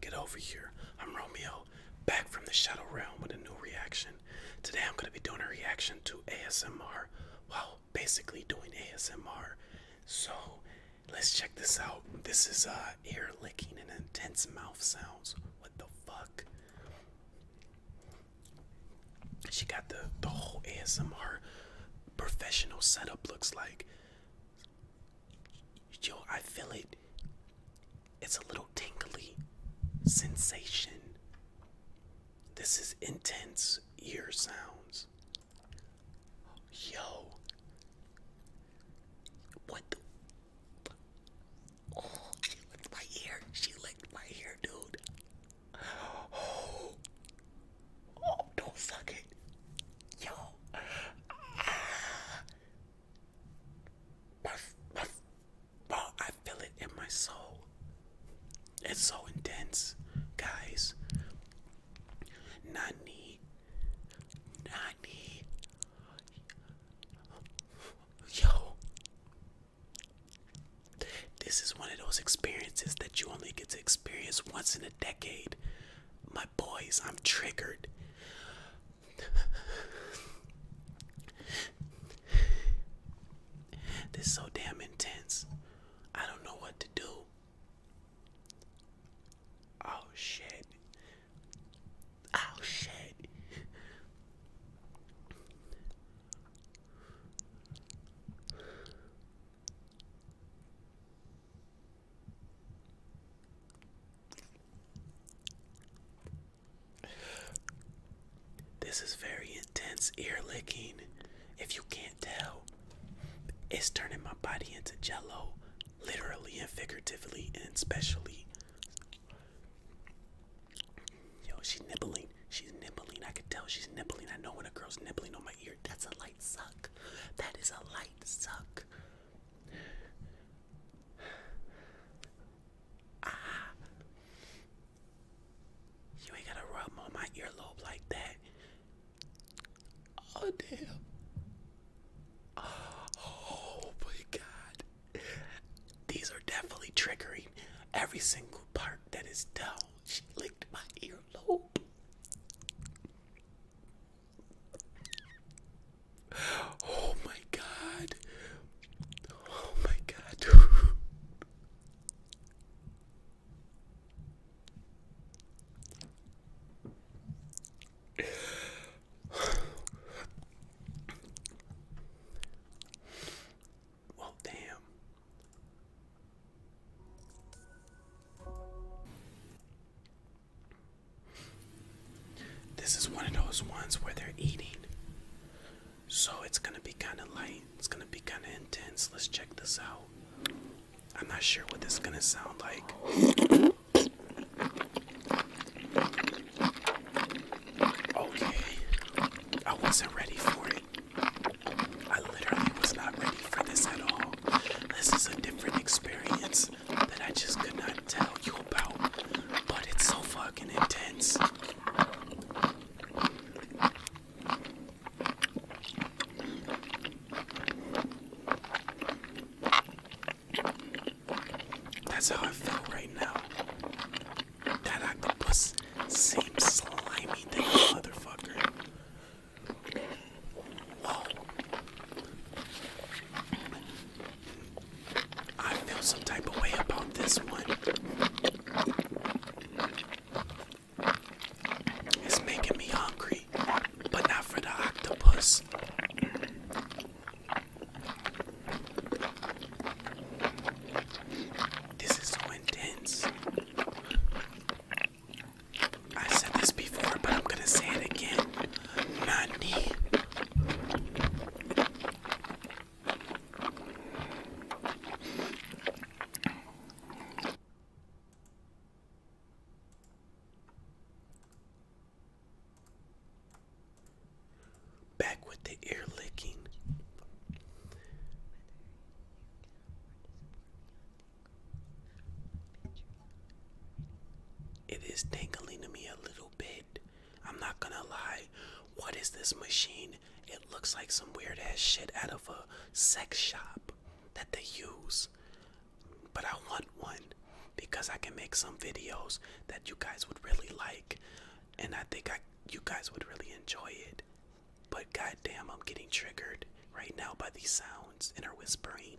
Get over here. I'm Romeo, back from the Shadow Realm with a new reaction. Today I'm going to be doing a reaction to ASMR. while basically doing ASMR. So, let's check this out. This is a uh, ear licking and intense mouth sounds. What the fuck? She got the, the whole ASMR professional setup looks like yo, I feel it. It's a little tingly sensation. This is intense ear sounds. Yo, what the? she licked my ear. She licked my ear, dude. Oh, Oh, don't suck it. Yo. Ah. Bro, I feel it in my soul. It's so intense, guys. Nani. Nani. Yo. This is one of those experiences that you only get to experience once in a decade. My boys, I'm triggered. this is so damn intense. I don't know what to do. Oh shit. Oh shit. This is very intense ear licking. If you can't tell, it's turning my body into jello, literally and figuratively and especially. Yo, she's nibbling. She's nibbling. I can tell she's nibbling. I know when a girl's nibbling on my ear. That's a suck. That is a light suck. Ah. You ain't gotta rub on my earlobe like that. Oh, damn. Oh, my God. These are definitely triggering every single part that is down. She licked my earlobe. Oh my god. Oh my god. well, damn. This is one of those ones where they're eating. So it's gonna be kinda light. It's gonna be kinda intense. Let's check this out. I'm not sure what this gonna sound like. Okay. I wasn't ready for it. I literally was not ready for this at all. This is a different experience that I just could not tell you about, but it's so fucking intense. That's how I feel right now. That octopus seems slimy than motherfucker. I feel some type of way about this one. It's making me hungry, but not for the octopus. This is so intense. I said this before, but I'm gonna say it again. Nani. Back with the ear licking. It is dangling to me a little bit. I'm not gonna lie. What is this machine? It looks like some weird ass shit out of a sex shop that they use. But I want one because I can make some videos that you guys would really like. And I think I you guys would really enjoy it. But goddamn, I'm getting triggered right now by these sounds and her whispering.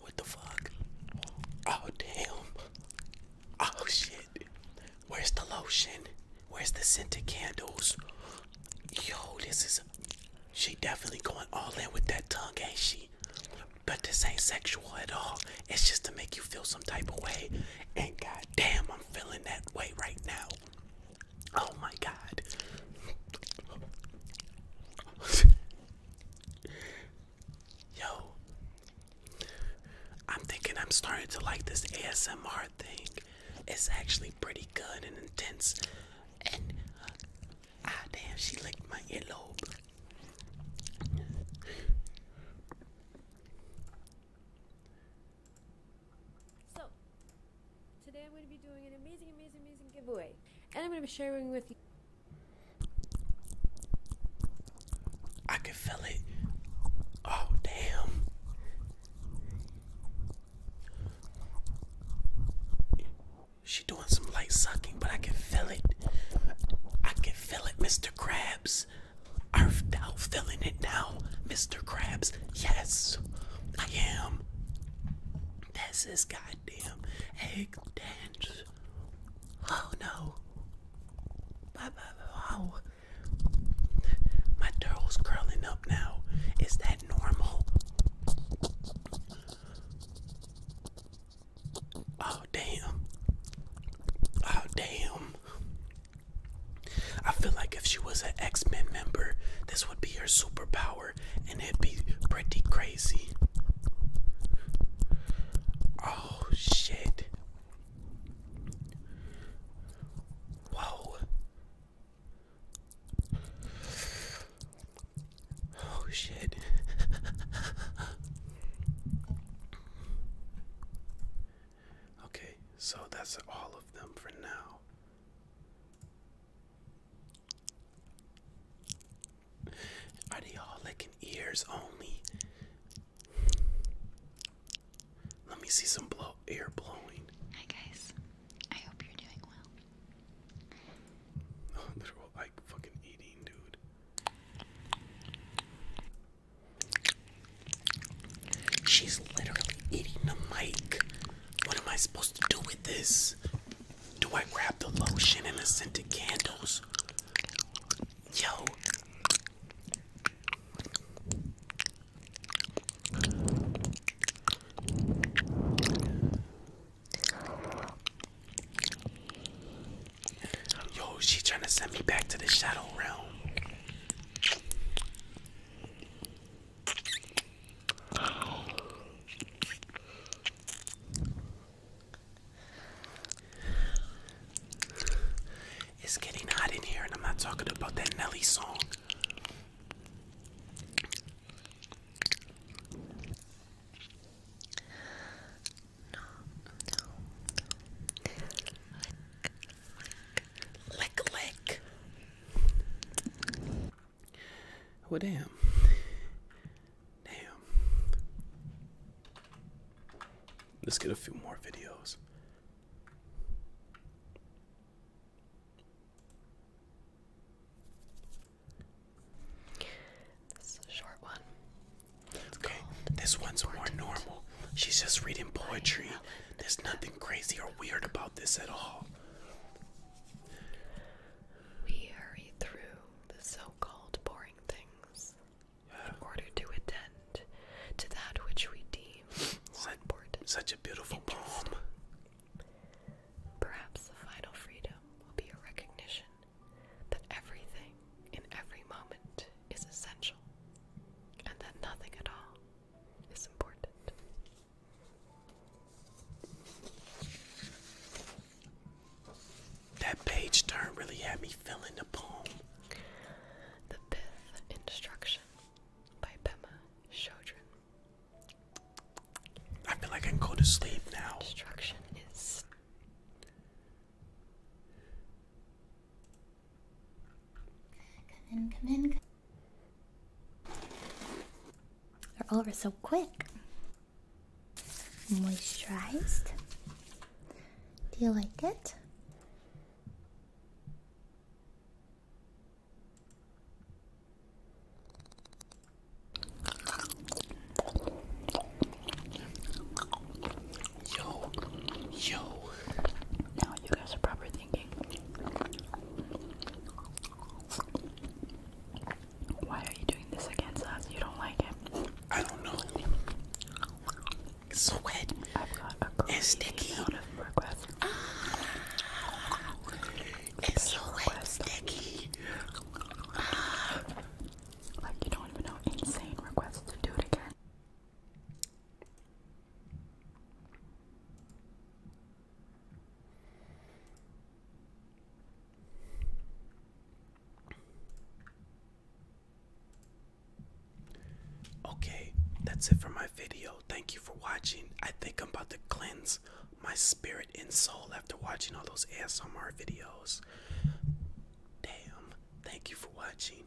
What the fuck? Oh, damn. Oh, shit. Where's the lotion? Where's the scented candles? Yo, this is. She definitely going all in with that tongue, ain't she? But this ain't sexual at all. It's just to make you feel some type of way. And goddamn, I'm feeling that way right now. Oh my god. Yo. I'm thinking I'm starting to like this ASMR thing. It's actually pretty good and intense. And uh, ah damn, she licked my earlobe. So, today I'm going to be doing an amazing, amazing, amazing giveaway. And I'm going to be sharing with you. I can feel it. Oh, damn. She doing some light sucking, but I can feel it. I can feel it, Mr. Krabs. Are thou feeling it now, Mr. Krabs? Yes, I am. That's this goddamn egg dance. Oh no. My turtle's curling up now. Is that normal? Oh, damn. Oh, damn. I feel like if she was an X Men member, this would be her superpower, and it'd be pretty crazy. Oh shit. Whoa. Oh shit. Okay, so that's all of them for now. Are they all licking ears only? Let me see some blow ear blowing. Hi guys, I hope you're doing well. They're all like fucking eating, dude. She's literally eating the mic. What am I supposed to do with this? Do I grab the lotion and the scented candles? Yo. Yo, she trying to send me back to the shadow realm. It's getting hot in here, and I'm not talking about that Nelly song. Lick, lick. Well, damn. Damn. Let's get a few more videos. This is a short one. okay, this one's more normal. She's just reading poetry. There's nothing crazy or weird about this at all. We through the so called boring things in order to attend to that which we deem Such a beautiful poem. Perhaps the final freedom will be a recognition that everything in every moment is essential and that nothing at all it's important. That page turn really had me feeling the poem. The Fifth Instruction by Pema Chodron. I feel like I can go to sleep now. Instruction is Come in, come in. They're over so quick. Moisturized. Do you like it? Yo, yo. Now you guys are probably thinking, why are you doing this against us? You don't like it. I don't know. It's so I've got a it's sticky. amount of requests. Ah, it's so wet sticky. Like you don't even know insane requests to do it again. Okay, that's it for my video. Thank you for watching. I think I'm about to cleanse my spirit and soul after watching all those ASMR videos. Damn, thank you for watching.